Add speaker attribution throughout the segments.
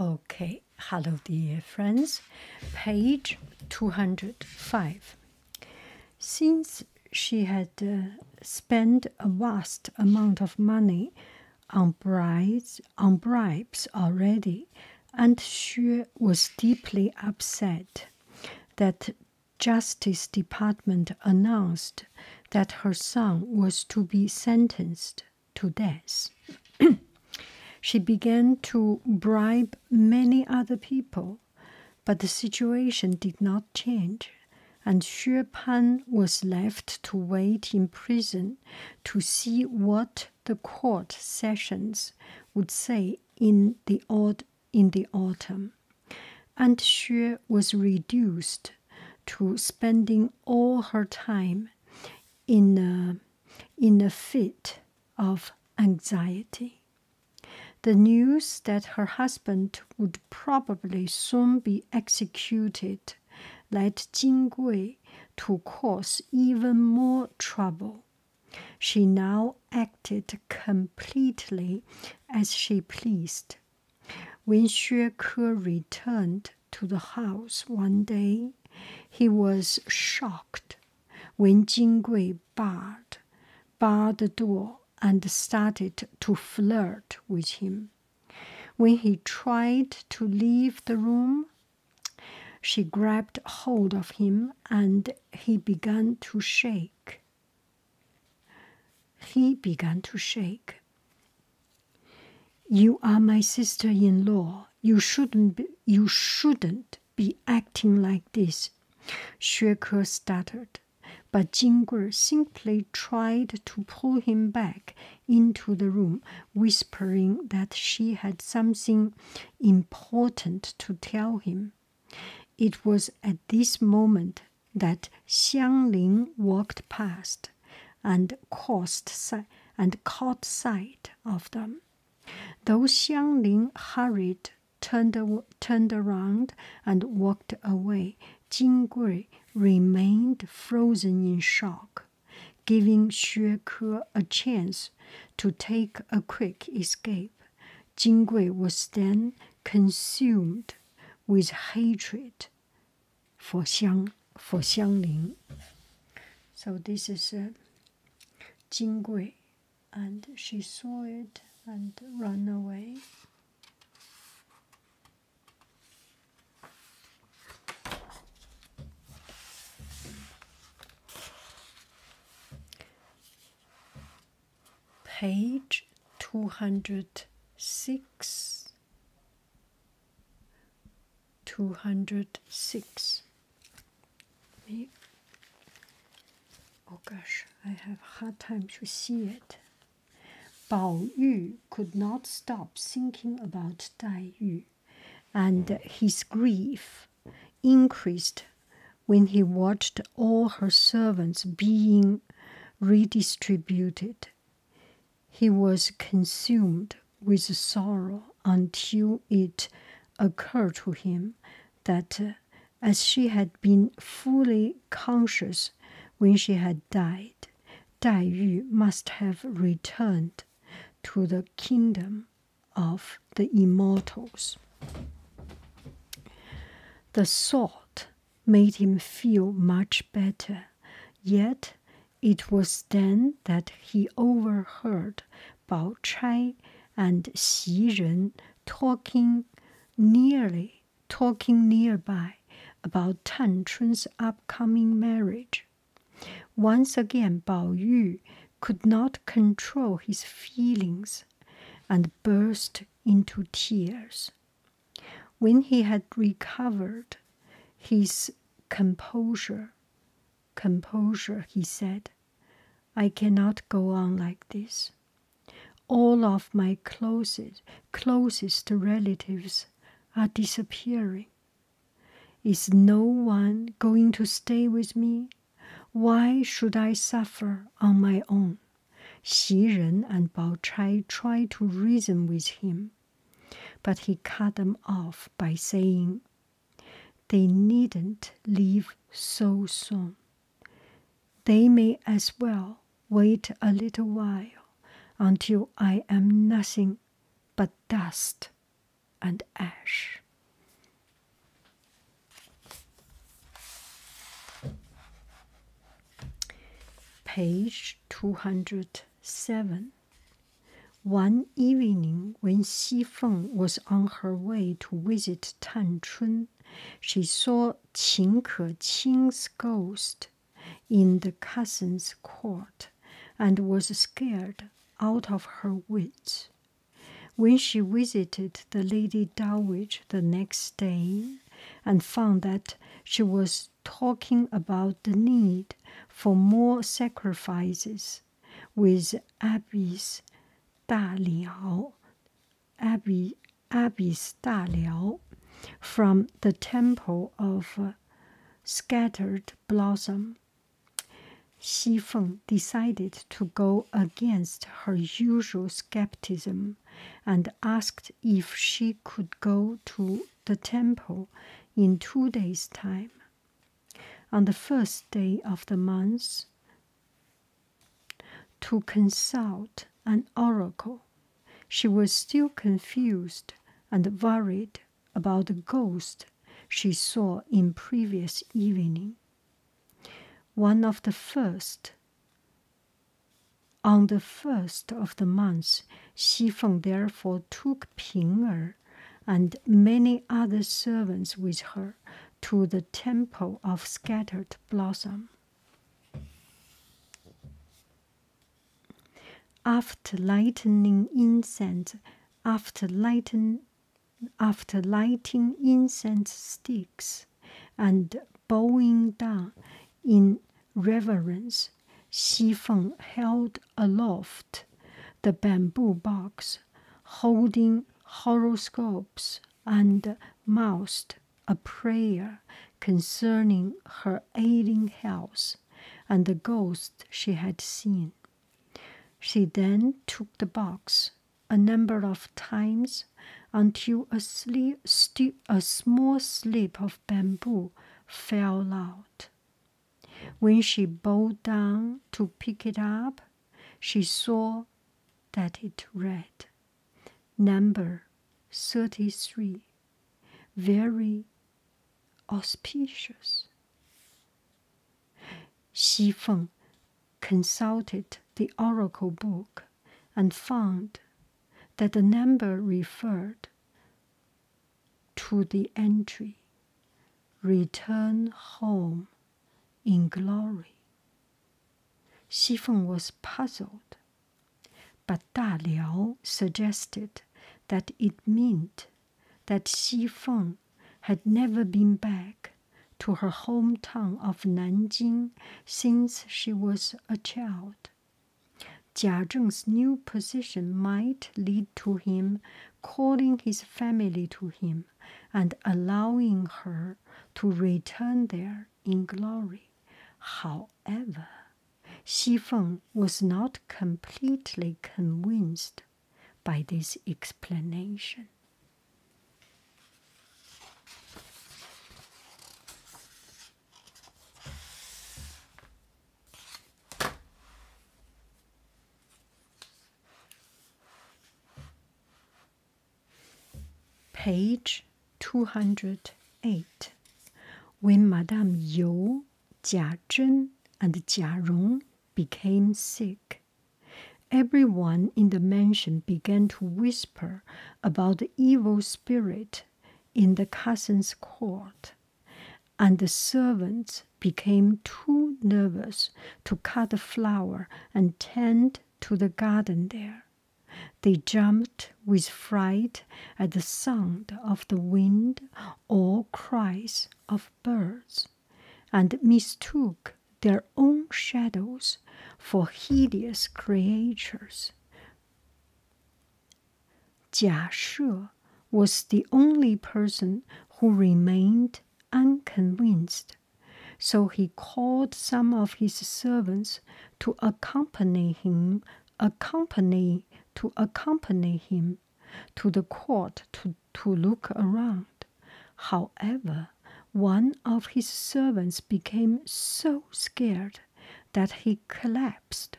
Speaker 1: Okay, hello, dear friends. Page 205. Since she had uh, spent a vast amount of money on bribes, already, and Xue was deeply upset that Justice Department announced that her son was to be sentenced to death. she began to bribe many other people, but the situation did not change, and Xue Pan was left to wait in prison to see what the court sessions would say in the, in the autumn. And Xue was reduced to spending all her time uh, in a, fit of anxiety. The news that her husband would probably soon be executed led Jing Gui to cause even more trouble. She now acted completely as she pleased. When Xue Ke returned to the house one day, he was shocked when Jingui barred, barred the door and started to flirt with him. When he tried to leave the room, she grabbed hold of him and he began to shake. He began to shake. You are my sister in law. You shouldn't be, you shouldn't be acting like this. Xue Ke stuttered, but Jingguo simply tried to pull him back into the room, whispering that she had something important to tell him. It was at this moment that Xiang Ling walked past and caused and caught sight of them. Though Xiang Ling hurried, turned, turned around, and walked away, Jing Gui remained frozen in shock, giving Xue Ke a chance to take a quick escape. Jing Gui was then consumed with hatred for xiang for xiangling. So this is uh, Jingui, and she saw it and ran away. Page two hundred six. 206. Me? Oh gosh, I have a hard time to see it. Bao Yu could not stop thinking about Dai Yu, and his grief increased when he watched all her servants being redistributed. He was consumed with sorrow until it occurred to him that, uh, as she had been fully conscious when she had died, Dai Yu must have returned to the kingdom of the immortals. The thought made him feel much better. Yet it was then that he overheard Bao Chai and Xi Ren talking nearly, talking nearby about Tan Chun's upcoming marriage. Once again, Bao Yu could not control his feelings and burst into tears. When he had recovered his composure, composure, he said, I cannot go on like this. All of my closest, closest relatives are disappearing. Is no one going to stay with me? Why should I suffer on my own? Xi Ren and Bao Chai tried to reason with him, but he cut them off by saying, They needn't leave so soon. They may as well wait a little while until I am nothing but dust and ash. Page 207. One evening, when Xi Feng was on her way to visit Tan Chun, she saw Qin Keqing's ghost in the cousin's court and was scared out of her wits. When she visited the Lady Dowager the next day, and found that she was talking about the need for more sacrifices with Abis Da Liao, Abbey, Abbey's from the temple of uh, scattered blossom. Xi Feng decided to go against her usual skepticism and asked if she could go to the temple in two days' time. On the first day of the month, to consult an oracle. She was still confused and worried about the ghost she saw in previous evening. One of the first on the first of the month, Xi Feng therefore took Ping Er and many other servants with her to the temple of scattered blossom. After lighting incense, after lighting, after lighting incense sticks, and bowing down in reverence, Xi Feng held aloft the bamboo box, holding horoscopes and mouthed a prayer concerning her ailing health and the ghost she had seen. She then took the box a number of times until a, small slip of bamboo fell out. When she bowed down to pick it up, she saw that it read Number 33 Very auspicious. Xi Feng consulted the oracle book and found that the number referred to the entry return home in glory. Xi Feng was puzzled, but Da suggested that it meant that Xi Feng had never been back to her hometown of Nanjing since she was a child. Jia Zheng's new position might lead to him calling his family to him and allowing her to return there in glory. However, Xi Feng was not completely convinced by this explanation. Page 208. When Madame Yu, Jia Zhen, and Jia Rong became sick, Every one in the mansion began to whisper about the evil spirit in the cousin's court, and the servants became too nervous to cut the flower and tend to the garden there. They jumped with fright at the sound of the wind or cries of birds, and mistook their own shadows for hideous creatures. Jia Shu was the only person who remained unconvinced, so he called some of his servants to accompany him, accompany to accompany him to the court to, to look around. However, one of his servants became so scared that he collapsed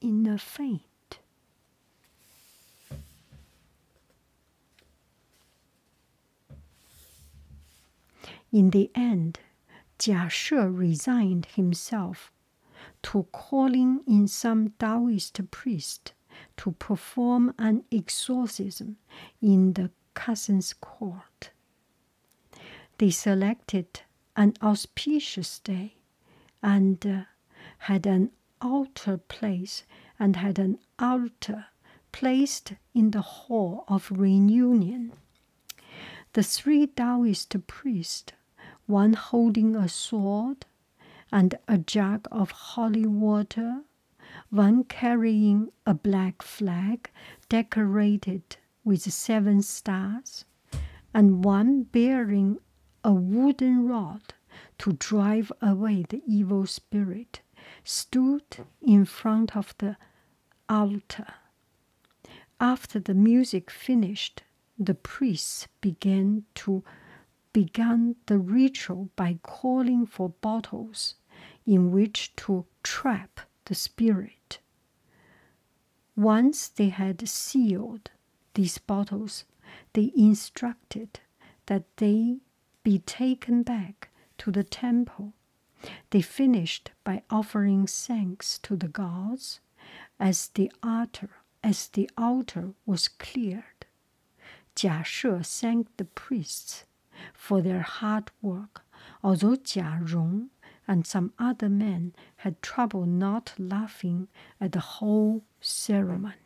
Speaker 1: in a faint. In the end, Jia She resigned himself to calling in some Taoist priest to perform an exorcism in the cousin's court. They selected an auspicious day and uh, had an altar place and had an altar placed in the hall of reunion. The three Taoist priests, one holding a sword and a jug of holy water, one carrying a black flag decorated with seven stars, and one bearing a wooden rod to drive away the evil spirit, stood in front of the altar. After the music finished, the priests began to began the ritual by calling for bottles in which to trap the spirit. Once they had sealed these bottles, they instructed that they be taken back to the temple. They finished by offering thanks to the gods as the altar as the altar was cleared. Jia She thanked the priests for their hard work, although Jia Rong and some other men had trouble not laughing at the whole ceremony.